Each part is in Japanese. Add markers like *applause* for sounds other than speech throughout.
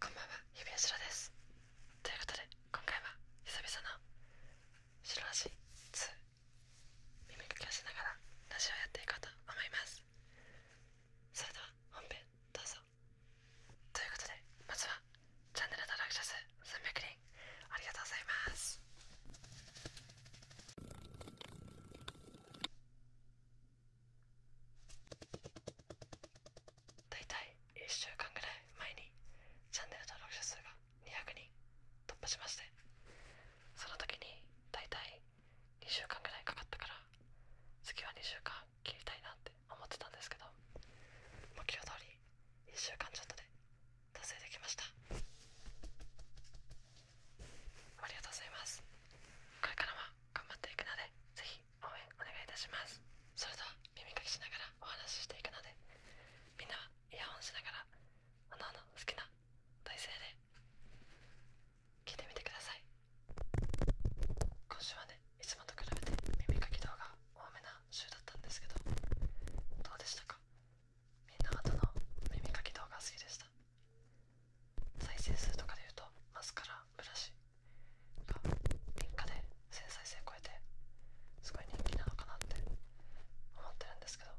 こんばんは、ひびしろです。ということで、今回は久々の白ラジ2耳かきをしながらラジオをやっていこうと思います。それでは本編どうぞ。ということで、まずはチャンネル登録者数300人ありがとうございます。大体1週間ぐらい前にチャンネル登録者数が200人突破しましてその時に大体2週間ぐらいかかったから次は2週間切りたいなって思ってたんですけど目標通り1週間ちょっとで達成できましたありがとうございますこれからは頑張っていくのでぜひ応援お願いいたしますそれでは耳かきしながらお話ししていくのでみんなはイヤホンしながらおのおの好きな体勢で聞いてみてください今週はねいつもと比べて耳かき動画多めな週だったんですけどどうでしたかみんなはどの耳かき動画好きでした再生数とかでいうとマスカラブラシが3日で繊細性0超えてすごい人気なのかなって思ってるんですけど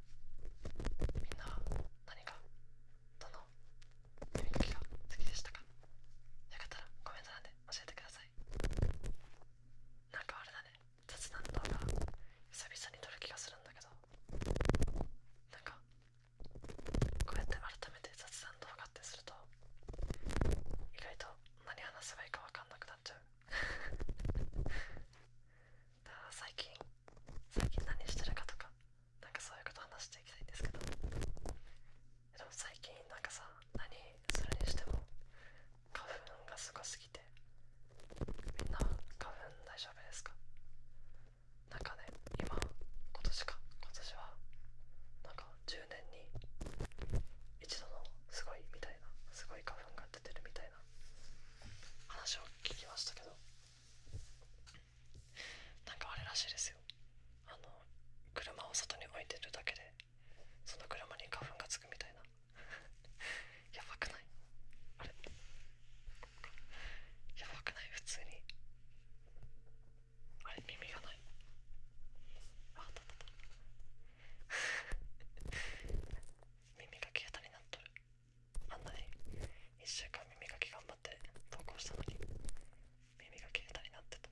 みんなは何かどの雰囲気が好きでしたかよかったらコメント欄で教えてくださいなんかあれだね雑談動画久々に撮る気がするんだけどなんかこうやって改めて雑談動画ってすると意外と何話せばいいか分かんなくなっちゃう *laughs* だ最近最近何してるかとかなんかそういうこと話していきたいんですけどでも最近なんかさ何するにしても花粉がすごすぎてみんな花粉大丈夫ですかなんかね今今年か今年はなんか10年に一度のすごいみたいなすごい花粉が出てるみたいな話を聞きましたけどなんかあれらしいですよあの車を外に置いてるだけでその車に花粉がつくみたいな *laughs* やばくないあれやばくない普通にあれ耳がないああったあった耳かき下手になっとるあんなに1週間耳がき頑張って投稿したのに耳が消えたになってた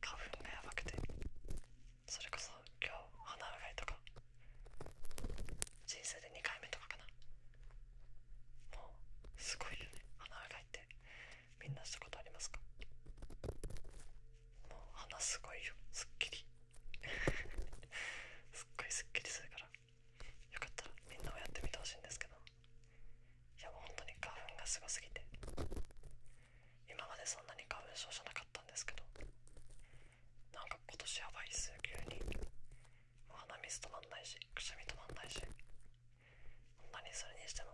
花粉がやばくてそれこそ今日鼻うがいとか人生で2回目とかかなもうすごいよね鼻洗いてみんなしたことありますかもう鼻すごいよすっきり *laughs* すっごいすっきりするからよかったらみんなもやってみてほしいんですけどいやもう本当に花粉がすごすぎて今までそんなに花粉症じゃなかったんですけどなんか今年やばいっす急に鼻水止まんないしくしゃみ止まんないしこなにそれにしても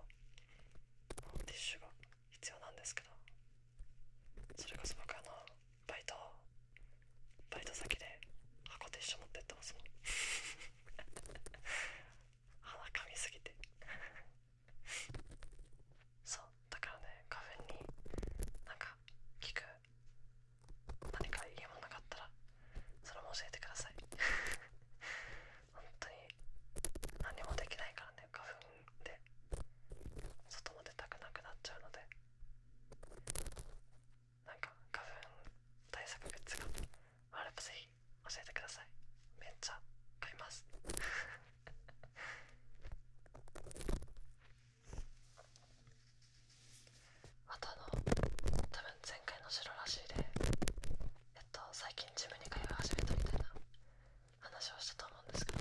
ティッシュが必要なんですけどそれこそ僕あのバイトバイト先で箱ティッシュ持ってってますもん鼻かみすぎてそうだからね花粉になんか効く何かいいものなかったらそれも教えてください *laughs* 本当に何もできないからね花粉で外も出たくなくなっちゃうのでなんか花粉対策グッズがある。ばぜひ教えてくださいめっちゃ買います *laughs* またあの多分前回の白らしいでえっと最近ジムに通い始めたみたいな話をしたと思うんですけど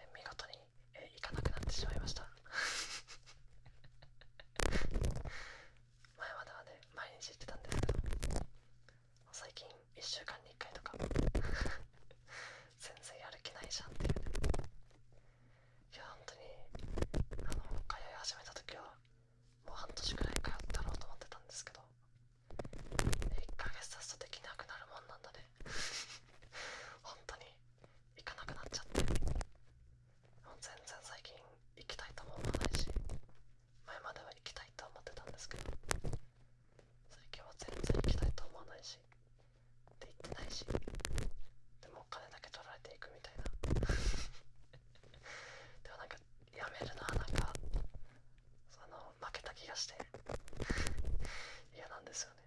え見事にえ行かなくなってしまいました前まではね毎日行ってたんですけど最近1週間に1回とか全然やる気ないじゃんっていうねいや本当にあのもう通い始めた時はもう半年くらい通ってやろうと思ってたんですけど1ヶ月経つとできなくなるもんなんだね本当に行かなくなっちゃってもう全然最近行きたいとも思わないし前までは行きたいと思ってたんですけど最近は全然行きたいと思わないしって言ってないしでもお金だけ取られていくみたいな *laughs* でもなんかやめるのはなんかあの負けた気がして *laughs* 嫌なんですよね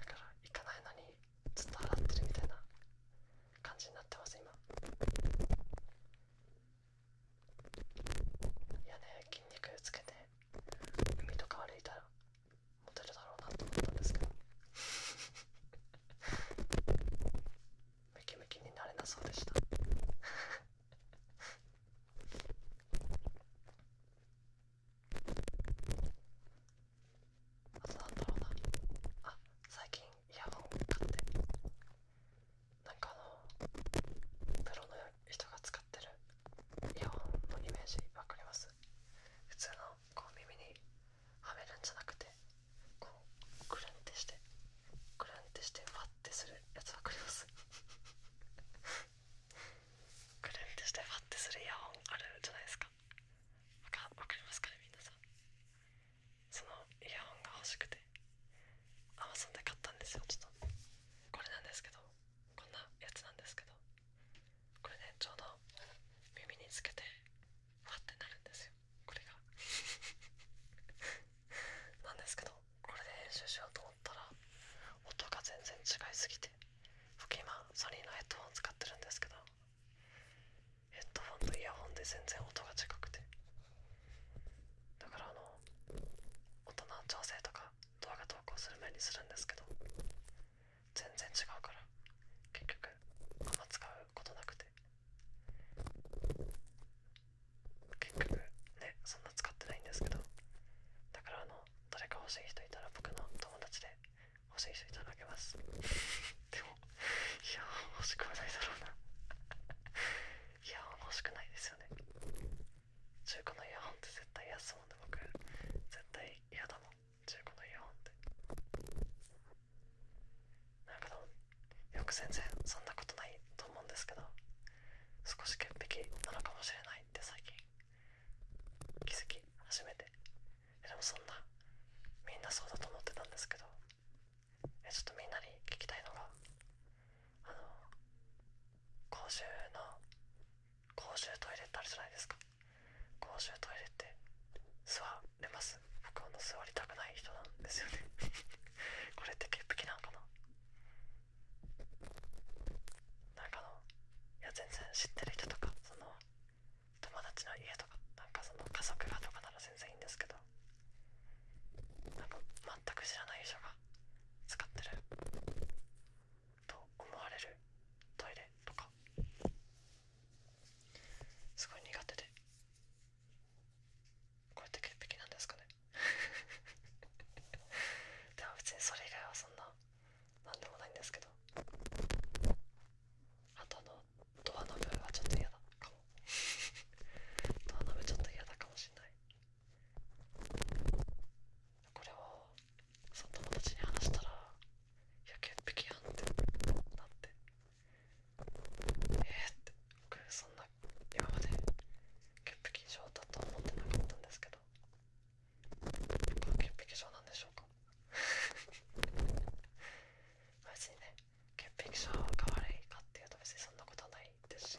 だから行かないのにずっと払ってるみたいな感じになってます今いやね筋肉つけて海とか歩いたらモテるだろうなと思ったんですけどムキムキになれなそうでしたあとなんだろうなあ最近イヤホン買ってなんかあのプロの人が使ってるイヤホンのイメージ分かります普通のこう耳にはめるんじゃなくてこうくるんってしてくるんってしてファッてするやつ分かりますくるんってしてファッてするイヤホンあるじゃないですか分か分かりますかねみさんそのイヤホンが欲しくて Amazon で買ったんですよちょっとこれなんですけどこんなやつなんですけどこれでちょうど耳につけてファってなるんですよこれが *laughs* なんですけどこれで編集しようと思ったら音が全然違いすぎて僕今ソニーのヘッドホン使ってるんですけどヘッドホンとイヤホンで全然音が近くてだからあの音の調整とか動画投稿する前にするんですけど全然違うから結局あんま使うことなくて結局ねそんな使ってないんですけどだからあの誰か欲しい人いたら僕の友達で欲しい人いただけます *laughs* でもいや欲しくないだろうないや欲しくないですよね中古のイヤホンって絶対っ安もんで僕絶対嫌だもん中古のイヤホンってなんかでもよく全然そんなことないと思うんですけど少し潔癖なのかもしれないって最近気づき初めてえでもそんなみんなそうだと思ってたんですけどえちょっとみんなに聞きたいのがあの公衆の公衆トイレってあるじゃないですか公衆トイレって座れます僕あの座りたくない人なんですよね *laughs* これって潔癖なんかななんかのいや全然知ってる人とかその友達の家とかなんかその家族がとかなら全然いいんですけどなんか全く知らない人が使ってると思われるトイレとかすごい苦手でこうやって潔癖なんですかね *laughs* でも別にそれ以外はそんななんでもないんですけどあとあのドアノブはちょっと嫌だかも *laughs* ドアノブちょっと嫌だかもしんないこれをその友達に話したら「いや潔癖やん」ってなって「えっ?」って僕そんな今まで潔癖症だと思ってなかったんですけどやっぱ潔癖症なんでしょうか *laughs* 別にね潔癖症が悪いかっていうと別にそんなことはないですし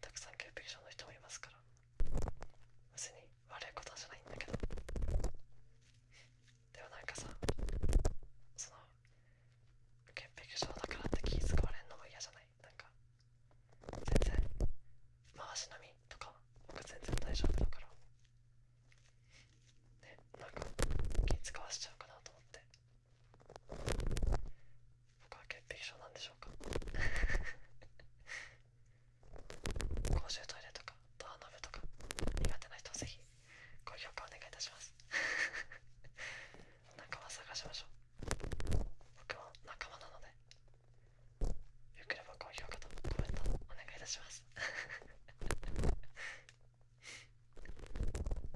たくさん潔癖症の人もいますから別に悪いことじゃないんだけどでもなんかさその潔癖症だからって気遣われんのも嫌じゃないなんか全然回し飲みとか僕全然大丈夫だからねなんか気遣わしちゃうかなと思って僕は潔癖症なんでしょうか *laughs* 公衆トイレとかドアノブとか苦手な人はぜひご評価お願いいたします仲間 *laughs* 探しましょう僕も仲間なのでよければ高評価とコメントお願いいたします *laughs*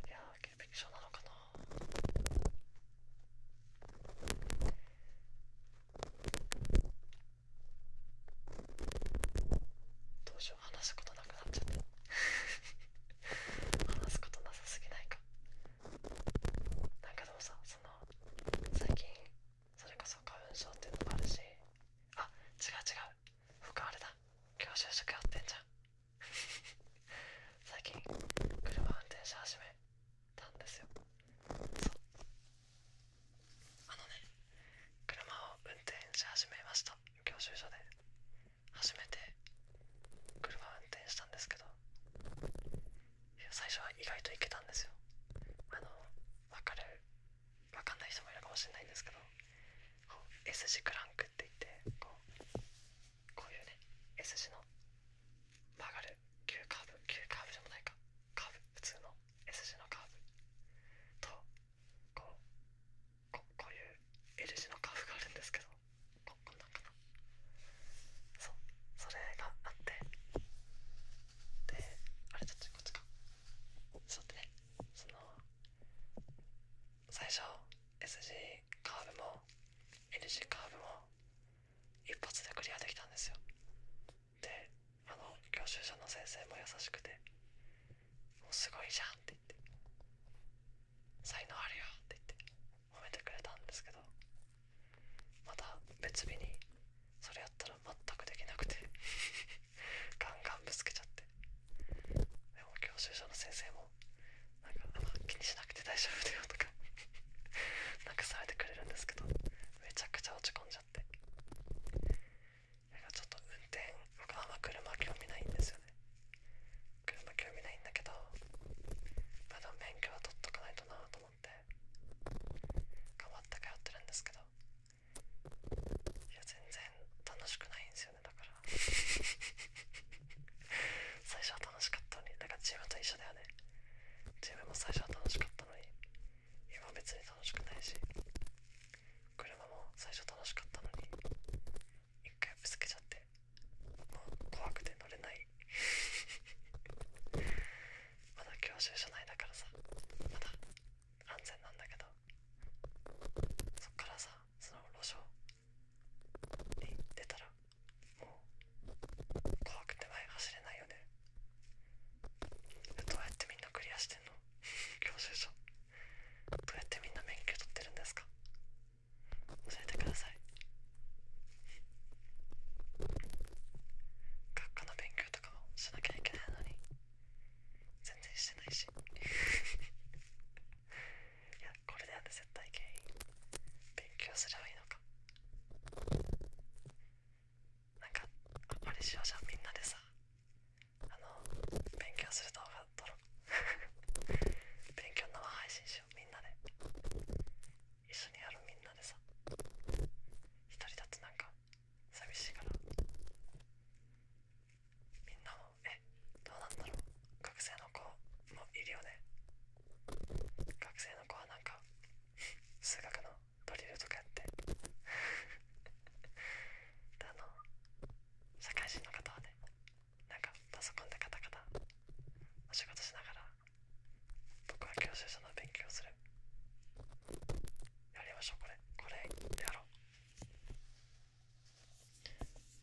いやー潔癖なのかなどうしよう話すことなくなっちゃって *laughs* 話すことなさすぎないかなんかでもさその最近それこそ花粉症っていうのもあるしあ違う違う僕あれだ今日就職やってんじゃん最近車運転し始めたんですよあのね車を運転し始めました教習所で初めて車を運転したんですけど最初は意外といけたんですよあの分かる分かんない人もいるかもしれないんですけどこう S 字クランクっていってこうこういうね S 字の曲がる急カーブ急カーブじゃないかカーブ普通の S 字のカーブとこうここういう L 字のカーブがあるんですけどここんなんかなそうそれがあってであれちょっとこっちかちょってねその最初 S 字カーブも N 字カーブも一発でクリアできたんですよであの教習所の先生も優しくて「もうすごいじゃん」って言って「才能あるよ」って言って褒めてくれたんですけどまた別日にそれやったら全くできなくてガンガンぶつけちゃってでも教習所の先生もなんかあんま気にしなくて大丈夫だよとか *laughs* なんかされてくれるんですけどめちゃくちゃ落ち込んじゃってなんかちょっと運転僕あんま車興味ないんですよね車興味ないんだけどまだ免許は取っとかないとなと思って変わった。通ってるんですけどいや全然楽しくないんです *laughs* 最初は楽しかったのにだからームと一緒だよねチームも最初は楽しかったのに今別に楽しくないし車も最初楽しかったのに一回ぶつけちゃってもう怖くて乗れない *laughs* まだ教習所いだからさまだ安全なんだけどそっからさその路上に出たらもう怖くて前走れないよねどうやってみんなクリアしてんの *laughs* 教習所どうやってみんな免許取ってるんですか教えてください学科の勉強とかもしなきゃいけないのに全然してないしいやこれだよね絶対原因勉強すればいいのかなんかあんまりしようじゃんみんなでさあの勉強する動画撮ろう *laughs* 勉強生配信しようみんなで一緒にやる？みんなでさ一人だとなんか寂しいからみんなもえどうなんだろう学生の子もいるよね学生の子はなんか数学のドリルとかやってであの社会人の方はねなんかパソコンでカタカタお仕事しながら僕は教習所の勉強するやりましょうこれこれやろう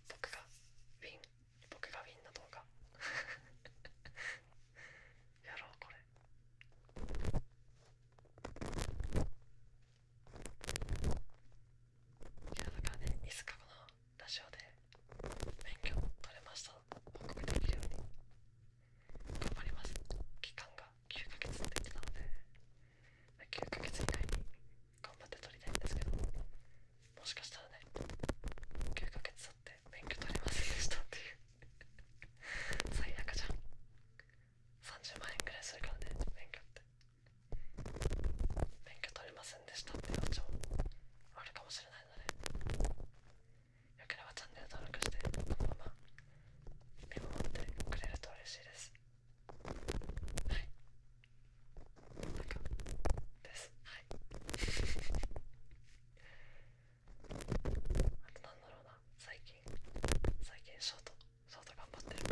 僕がウィン僕がウィンの動画やろうこれいやだからねいつかこのラジオで勉強取れました報告できるように頑張ります期間が9ヶ月って言ってたので9ヶ月以内に頑張って取りたいんですけどももしかしたらね9ヶ月経って免許取れませんでしたっていう *laughs* 最悪じゃん30万円ぐらいするからね免許って免許取れませんでしたっていう話もあるかもしれないのでよければチャンネル登録してこのまま見守ってくれると嬉しいですはいですはいあとなんだろうな最近最近ショートショート頑張ってる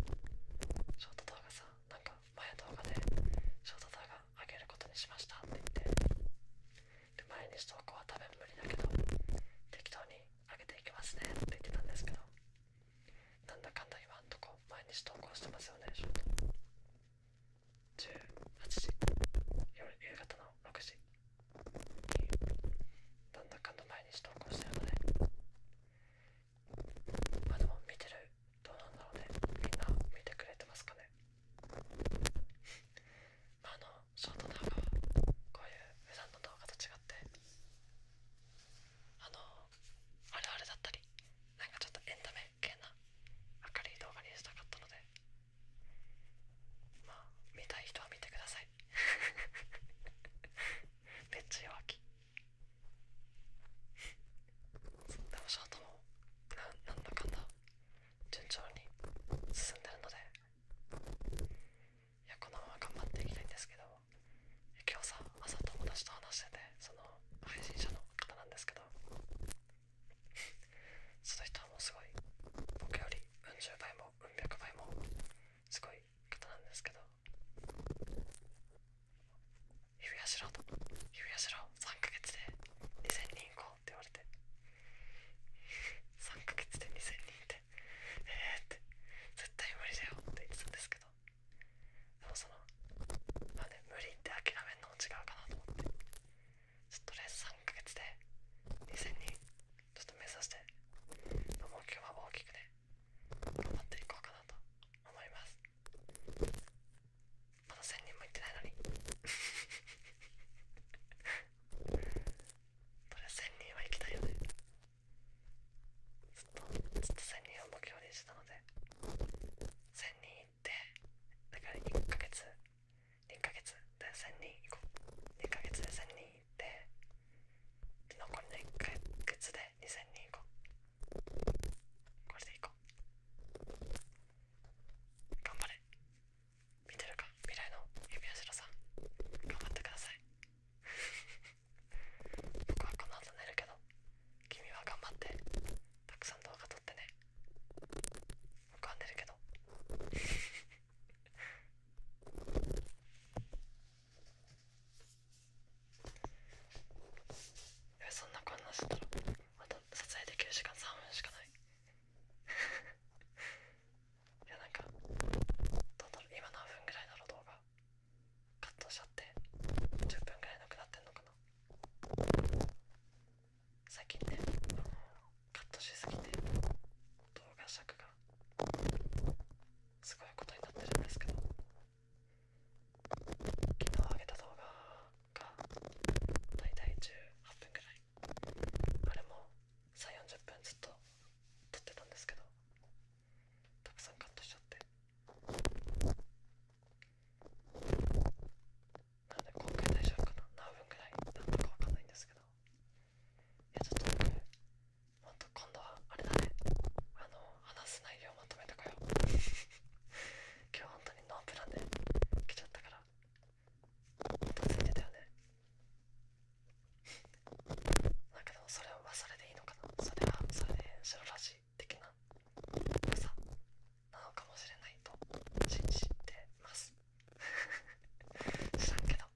ショート動画さなんか前動画でショート動画上げることにしましたって言ってで毎日投稿は多分無理だけど適当に上げていきますねって言ってたんですけどなんだかんだ今んとこ毎日投稿してますよねショート18時夜夕方の6時になんだかんだ毎日投稿してるのでまあでも見てるどうなんだろうねみんな見てくれてますかねまああのショート動画はこういう普段の動画と違ってあのあるあるだったりなんかちょっとエンタメ系な明るい動画にしたかったのでまあ見たい人は見てください *laughs* めっちゃ弱気でもショートもななんだかんだ順調に進んでるのでいやこのまま頑張っていきたいんですけど今日さ朝友達と話しててその配信者の方なんですけどその人はもうすごい僕よりうん十倍もうん百倍もすごい方なんですけど「指輪しろ」と「指輪しろ3ヶ月で2000人行こう」って言われて3ヶ月で2000人ってえー、って絶対無理だよって言ってたんですけどでもそのまあね無理って諦めるのも違うかなと思ってちょっととりあ3ヶ月で2000人ちょっと目指して目標は大きくね頑張っていこうかなと思いますまだ1000人もいってないのに *laughs* とりあえず1000人は行きたいよねずっとずっと1000人を目標にしてたので1000人いってだから1ヶ月1ヶ月で1000人いこう2ヶ月で1000人いって残りの1ヶ月で2000人いこうこれでいこう頑張れ見てるか未来の指輪白さん頑張ってください僕はこの後寝るけど君は頑張ってたくさん動画撮ってね浮かんでるけど *laughs* そんなこんなしてたらまた撮影できる時間3分しかないいやなんか今何分ぐらいだろ動画カットしちゃって10分ぐらいなくなってんのかな最近ねカットしすぎて動画尺がすごいことになってるんですけど昨日あげた動画がだいたい18分ぐらいあれも340分ずっと撮ってたんですけどたくさんカットしちゃってなので今回大丈夫かな何分ぐらいだっかわかんないんですけどいやちょっと僕ほん今度はあれだねあの話す内容まとめてこよ *laughs* 今日本当にノープランで来ちゃったからほんとついてたよねだけどそれはそれでいいのかなそれはそれで白らしい的な良さなのかもしれないと信じてます知らんけど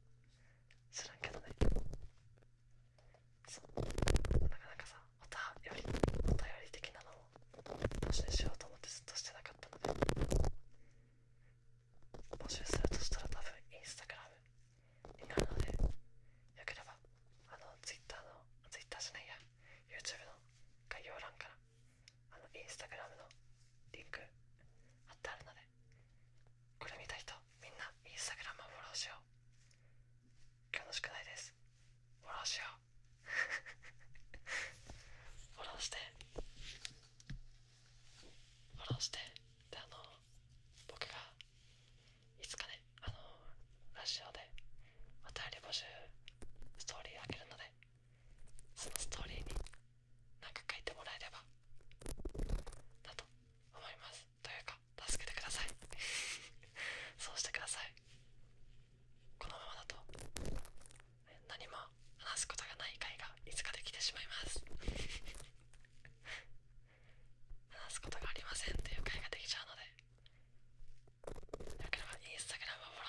知らんけどねそうなかなかさおよりお便り的なのを発にしようと思ってずっとしてなかったので募集するとしたら多分インスタグラムになるのでよければあのツイッターのツイッターじゃないや YouTube の概要欄からあのインスタグラムのリンク貼ってあるのでこれ見た人みんなインスタグラムをフォローしよう今日の宿題ですフォローしようフォローしてフォローしてあの僕がいつかねあのラジオでまたリ募集ストーリーあげるのでそのストーリーに何か書いてもらえればだと思いますというか助けてください *laughs* そうしてくださいの話すことがない回がいつかできてしまいます話すことがありませんっていう回ができちゃうのでよければインスタグラムをフォ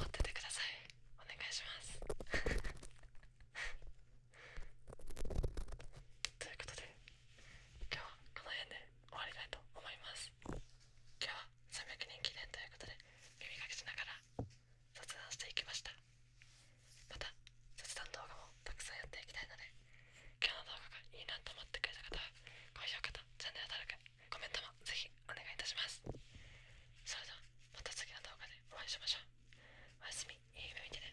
ローして待っててくださいお願いします *laughs* ということで今日はこの辺で終わりたいと思います今日は300人記念ということで耳かきしながら雑談していきましたまた雑談動画もたくさんやっていきたいので今日の動画がいいなと思ってくれた方は高評価とチャンネル登録コメントもぜひお願いいたしますそれではまた次の動画でお会いしましょうおやすみいい夢見てね